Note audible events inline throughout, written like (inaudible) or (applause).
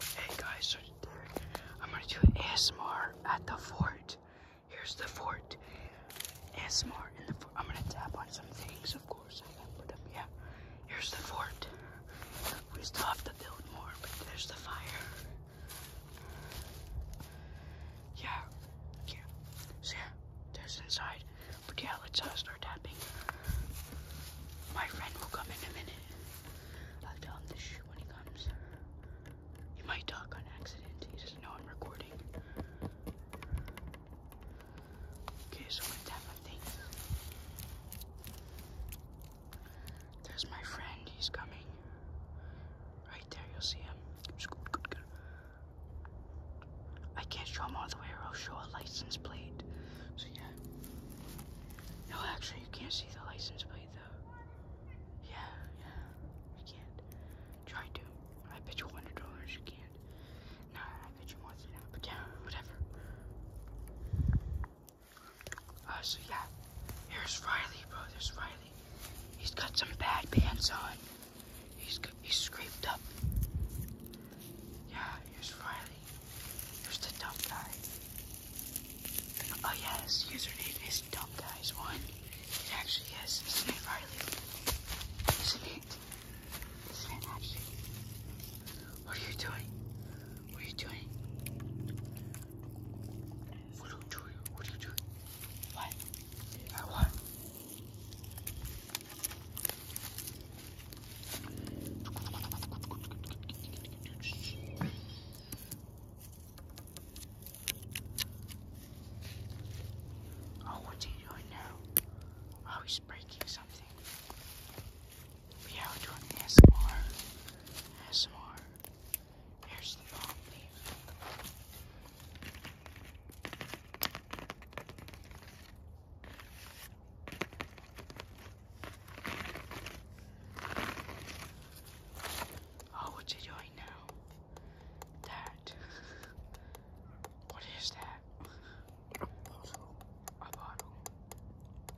Hey guys, so I'm gonna do an ASMR at the fort. Here's the fort. ASMR in the fort. I'm gonna tap on some things, of course. I gotta yeah. Here's the fort. We still have to build more, but there's the fire. Yeah, yeah. yeah, there's inside. But yeah, let's uh, start tapping. My friend will come in a minute. I'll tell him to when he comes. He might talk on accident. He doesn't know I'm recording. Okay, so let's have a thing. There's my friend. He's coming. Right there, you'll see him. I can't show him all the way or I'll show a license plate. So yeah. No, actually, you can't see the license plate though. Yeah, yeah. You can't. Try to. I bet you $100 you can't. No, I bet you one hundred. to whatever. Uh, so yeah, here's Riley, bro. There's Riley. He's got some bad pants on. He's got, he's scraped up. Yeah, here's Riley. Who's the dumb guy? Oh yes, username is dumb guys one. It actually is. Isn't Riley? Isn't it? Isn't actually? What are you doing? What are you doing? What are you doing? What are you doing? What? what? Oh, what's he doing now? Oh, he's breaking something. But yeah, we're doing ASMR. ASMR. Here's the bomb leaf. Oh, what's he doing now? That. what is that? A bottle. A bottle.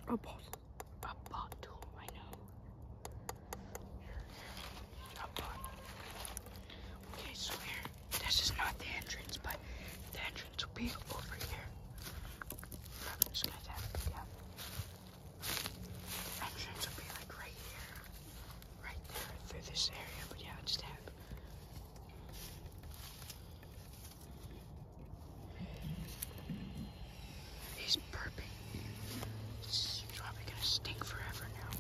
A bottle. A bottle, I know. A bottle. Okay, so here, this is not the entrance, but the entrance children to be over here. I'm just gonna tap it entrance will be like right here. Right there through this area, but yeah, it's tap. He's burping. This probably gonna stink forever now.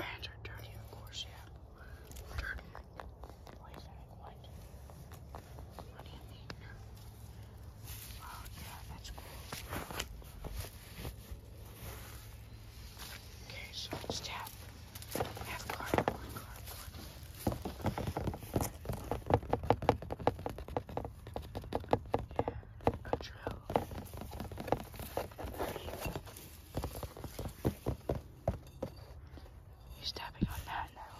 hands are dirty, of course, yeah. Dirty. Poisoning what? What do you mean? Oh, yeah, that's cool. Okay, so let's tap. I have cardboard, cardboard. Yeah, a drill. There you go. He's tapping on that now.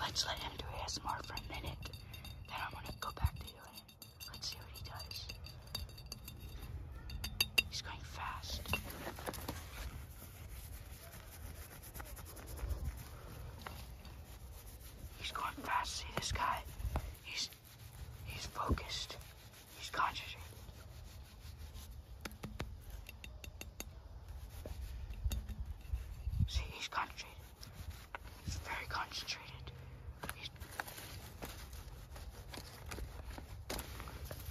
let us let him do ASMR for a minute. Then I'm gonna go back to you. Let's see what he does. He's going fast. He's going fast. See this guy? He's He's focused. He's concentrated. See, he's concentrated. He's very concentrated.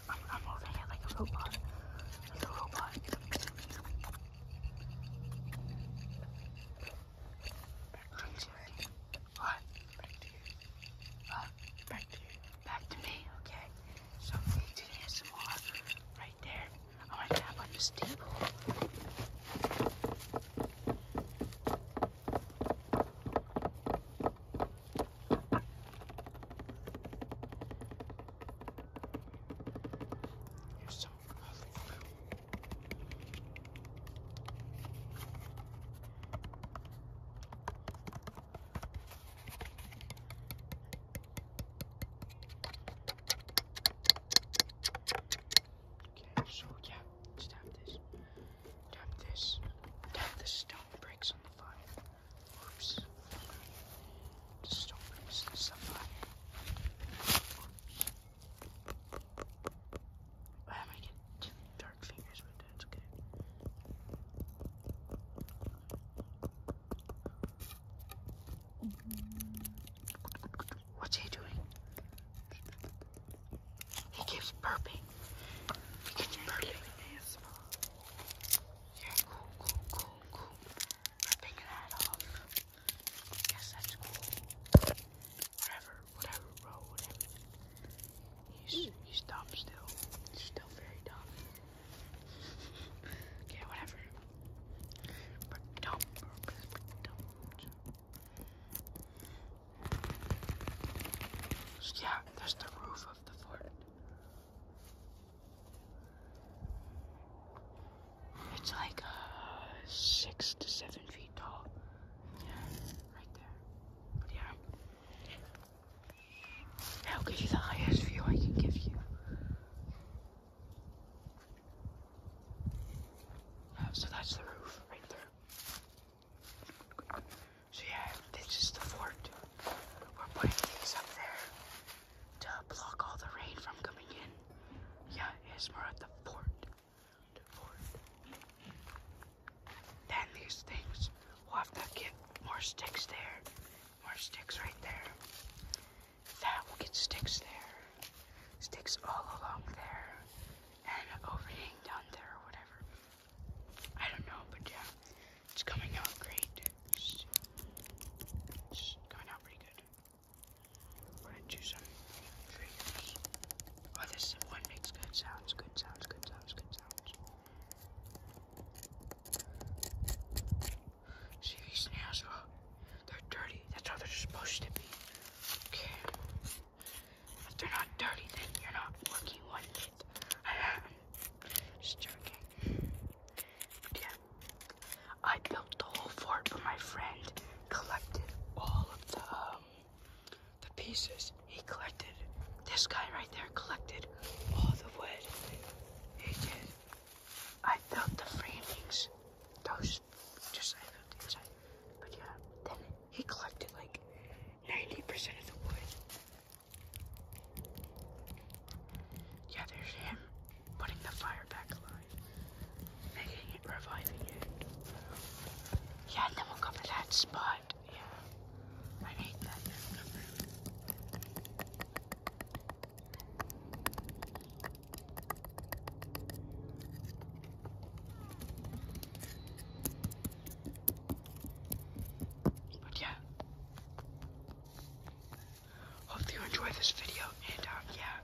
I'm, i it like a robot. a robot. Back to you. What? Back to you. What? Back to you. Back to me, okay? So we need to get some water right there. I'm gonna tap on the steeple. There's some lovely Okay, so yeah, just have this. Tap this. Tap the stone bricks on the fire. Oops. The stone bricks on the fire. Oops. What's he doing? He keeps burping. He keeps burping. Yeah, cool, cool, cool, cool whatever road, He's mm. he's dumb still. He's still very dumb. okay, whatever. But dumb, dumb. So yeah, that's the roof of the fort. It's like uh, six to seven feet tall. Yeah, right there. But yeah, I'll give you the highest view I can give you. Oh, so that's the roof right there. So yeah, this is the fort. We're putting these up there to block all the rain from coming in. Yeah, ASMR at the fort. Then these things, we'll have to get more sticks there, more sticks right there. That will get sticks there, sticks all along there, and overhang down there or whatever. I don't know, but yeah, it's coming out great. It's, coming out pretty good. We're do some figures. Oh, this one makes good sounds, good sounds, good sounds, good sounds. See these nails? Oh, they're dirty. That's how they're supposed to be. Okay. If they're not dirty, then you're not working one bit. (laughs) Just joking. yeah. I built the whole fort, for my friend collected all of the um, the pieces he collected. This guy right there collected all the wood. He did. I built the framings. Those just I built inside. But yeah, then he collected like 90% of the wood. Yeah, there's him putting the fire back alive making it reviving you. Yeah, and then we'll cover that spot. Yeah, I need that. But yeah, hope you enjoyed this video, and uh, yeah,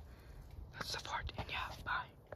that's the part, and yeah, bye.